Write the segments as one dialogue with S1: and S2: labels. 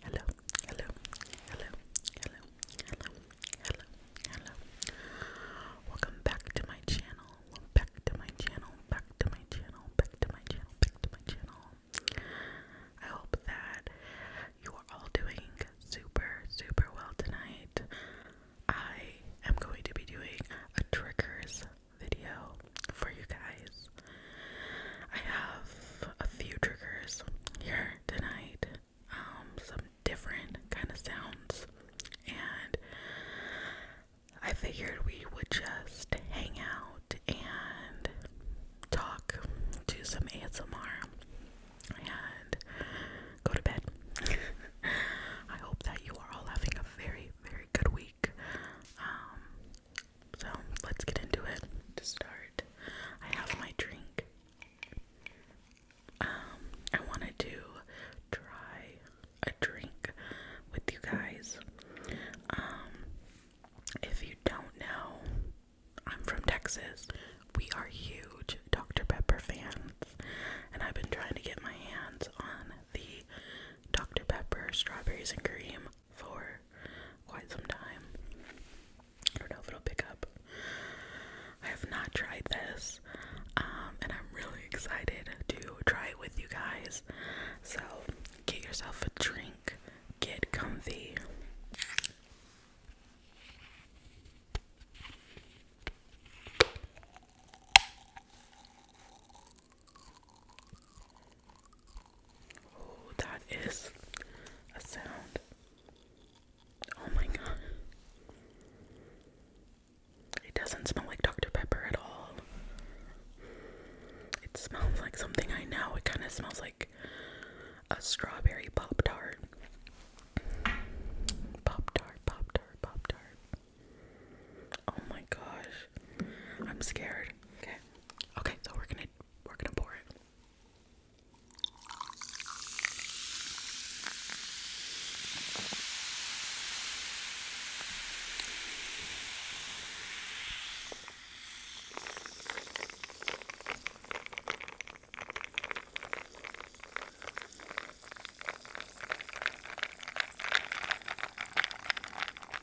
S1: Hello, hello, hello, hello, hello, hello, hello. Welcome back to my channel. Back to my channel. Back to my channel. Back to my channel. Back to my channel. I hope that you are all doing super, super well tonight. I am going to be doing a triggers video for you guys. I have a few triggers here tonight, um, some different kind of sounds, and I figured we would just hang out and talk, do some ASMR, and go to bed. I hope that you are all having a very, very good week. Um, so let's get into it. To start, I have my drink. Um, I wanted to try a drink with you guys. Um, if you don't know, I'm from Texas. We are huge Dr. Pepper fans, and I've been trying to get my hands on the Dr. Pepper strawberries and cream for quite some time. I don't know if it'll pick up. I have not tried this, um, and I'm really excited to try it with you guys. So, get yourself a drink, get comfy. Oh, that is a sound. Oh my god. It doesn't smell like Dr. Pepper at all. It smells like something I know. It kind of smells like a strawberry Pop Tart. Pop Tart, Pop Tart, Pop Tart. Oh my gosh. I'm scared. Okay. Okay, so we're gonna we're gonna pour it.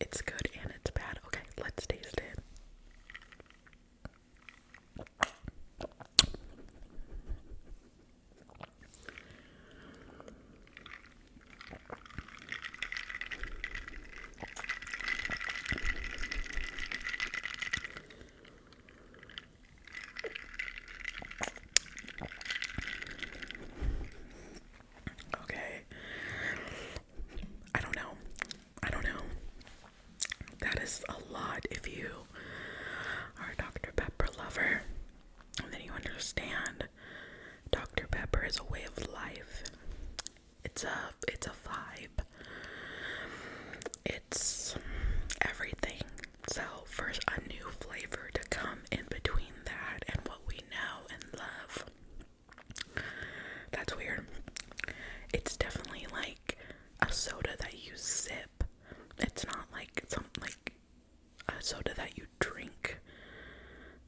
S1: it's good and it's bad. Okay, let's taste it. Okay. I don't know. I don't know. That is a lot if you are a Dr. Pepper lover. And then you understand Dr. Pepper is a way of life. It's a it's a vibe. It's everything. So first a new flavor to come in between that and what we know and love. That's weird. It's definitely like a soda that you sip. It's not like some like a soda that you drink.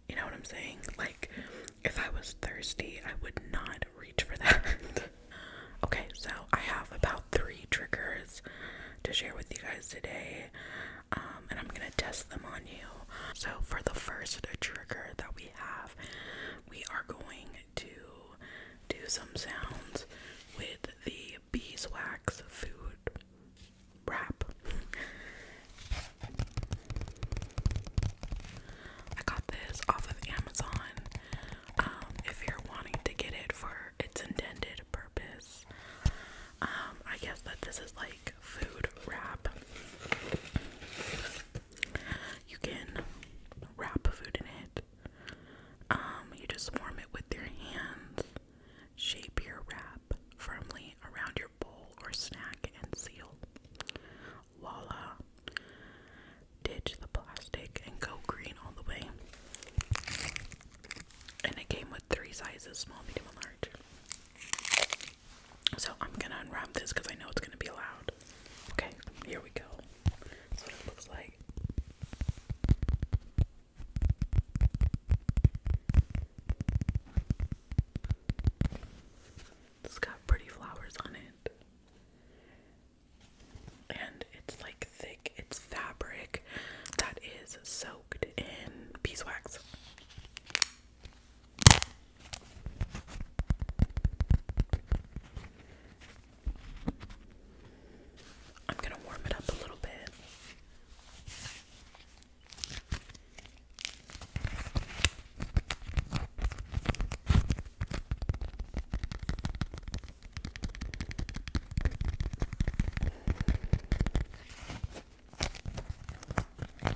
S1: You know what I'm saying? Like if I was thirsty, I would not reach for that. okay, so I have about 3 triggers to share with you guys today. Um, and I'm going to test them on you. So, for the first trigger that we have, we are going to do some sounds with the beeswax food wrap. I got this off of Amazon. Um, if you're wanting to get it for its intended purpose, um, I guess that this is like food wrap. You can wrap food in it. Um, you just warm it with your hands. Shape your wrap firmly around your bowl or snack and seal. Voila! Ditch the plastic and go green all the way. And it came with three sizes small, medium, and large. So I'm gonna unwrap this because I know it's gonna be loud. Okay, here we go. That's looks like. It's got pretty flowers on it. And it's like thick, it's fabric that is soaked in beeswax. I'm going to warm it up a little bit.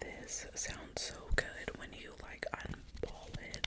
S1: This sounds so good when you like unball it.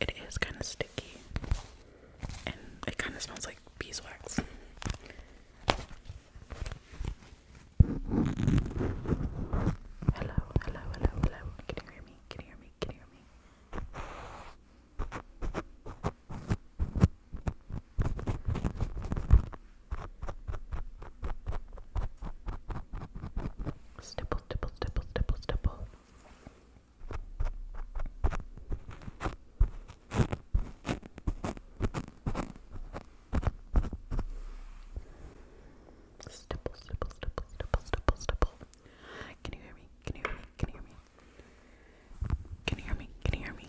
S1: It is kind of sticky and it kind of smells like beeswax. Hello, hello, hello, hello. Can you hear me? Can you hear me? Can you hear me? Step stipple, stipple, stipple, stipple, stipple. Stipple, stipple, stipple, stipple, stipple, Can you hear me? Can you hear me? Can you hear me? Can you hear me? Can you hear me?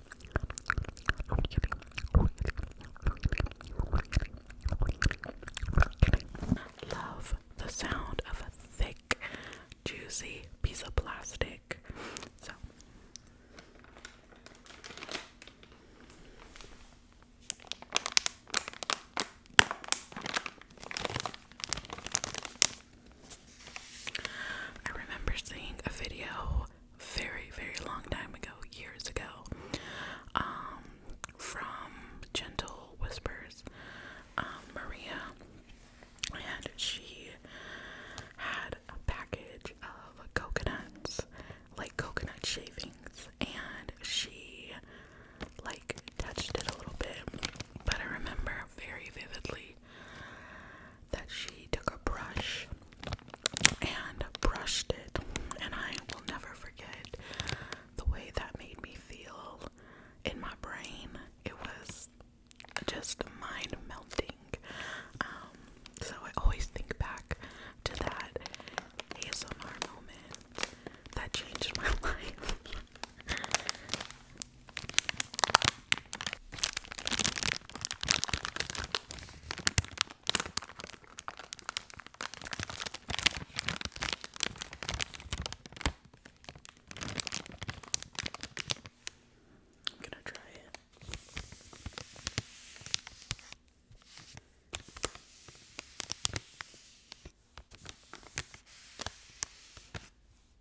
S1: Love the sound of a thick, juicy piece of plastic. So I remember seeing a video very, very long time ago, years ago, um, from Gentle Whispers, um, Maria, and she had a package of coconuts, like coconut shavings, and she like touched it a little bit, but I remember very vividly that she took a brush and brushed it, and I will never forget the way that made me feel in my brain. It was just mind melting. Um, so I always think back to that ASMR moment that changed my life. I'm gonna try it.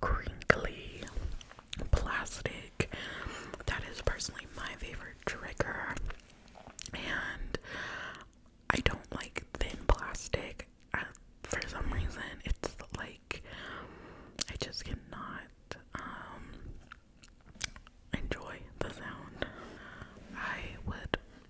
S1: crinkly plastic. That is personally my favorite trigger. And I don't like thin plastic for some reason. It's like I just cannot um, enjoy the sound. I would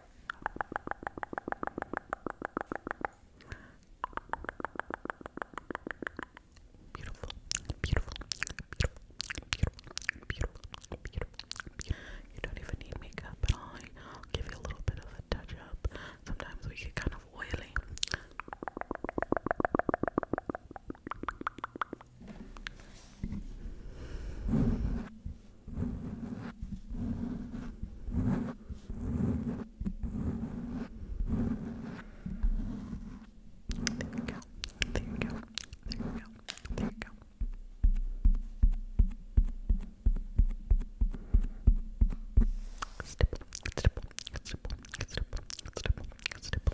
S1: Beautiful, beautiful, beautiful, beautiful, beautiful, beautiful. You don't even need makeup at I'll give you a little bit of a touch up. Sometimes we get kind of oily. There you go. There you go. There you go. There you go. Stipple, stipple, stipple, stipple, stipple, stipple.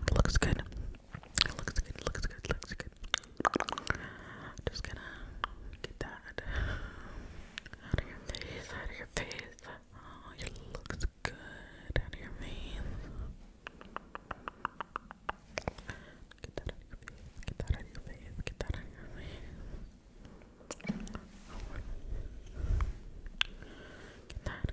S1: It looks good. It looks good, looks good, looks good. Just gonna get that out of your face, out of your face. Oh, it looks good out of your veins. Get that out of your face, get that out of your face, get that out of your face.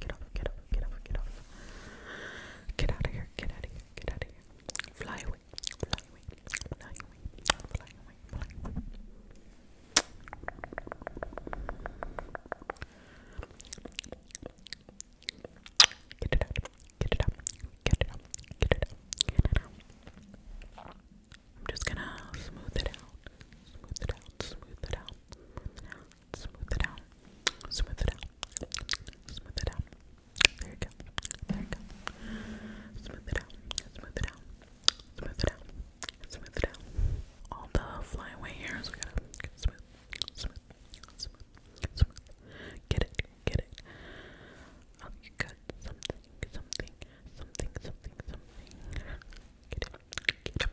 S1: Get off, get off, get off, get off. Get out of here, get out of here, get out of here. Fly away, fly away, fly away, fly away, fly away. Get it out, get it out, get it out, get it out, get it out. I'm just gonna smooth it out, smooth it out, smooth it out, smooth it out, smooth it out, smooth it out, smooth it out. There you go, there you go. Smooth it out, smooth it out, smooth it out, smooth it out. All the flyaway hairs we gotta get smooth, smooth, smooth, smooth. Get it, get it. Oh, you got something, something, something, something, something. Get it, get it,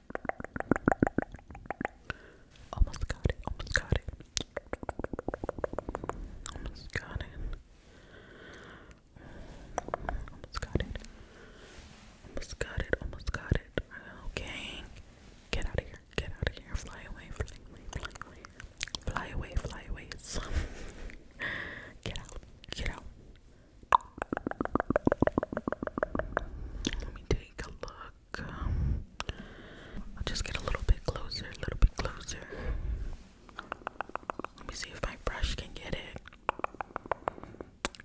S1: Almost got it, almost got it. Almost got it. Almost got it. Almost got it, almost got it. Okay. Get out of here, get out of here. Fly away, fly away, fly away. Fly away, fly away. get out, get out. Let me take a look. I'll just get a little bit closer, a little bit closer. Let me see if my brush can get it.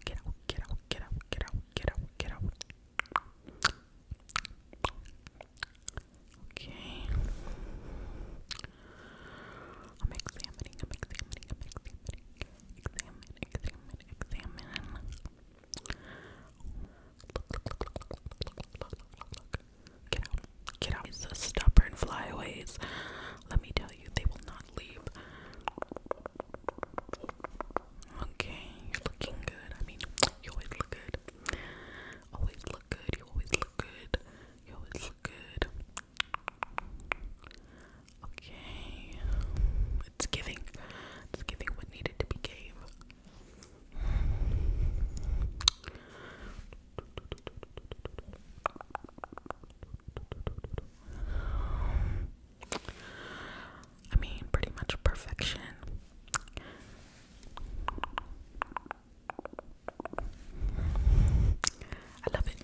S1: Get out, get out, get out, get out, get out, get out. Okay. I'm examining, I'm examining, I'm examining examine, examine, examine. Get out, get out. These stubborn flyaways. Let me tell you, they will not leave. Okay, you're looking good. I mean, you always look good. Always look good. You always look good. You always look good. Okay. It's giving. It's giving what needed to be gave. I mean, pretty much perfection. I love it.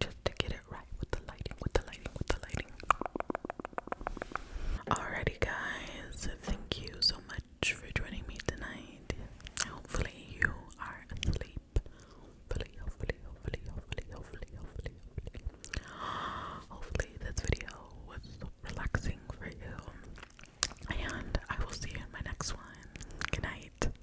S1: Just to get it right with the lighting, with the lighting, with the lighting. Alrighty, guys, thank you so much for joining me tonight. Hopefully, you are asleep. Hopefully, hopefully, hopefully, hopefully, hopefully, hopefully, hopefully. Hopefully, this video was relaxing for you. And I will see you in my next one. Good night.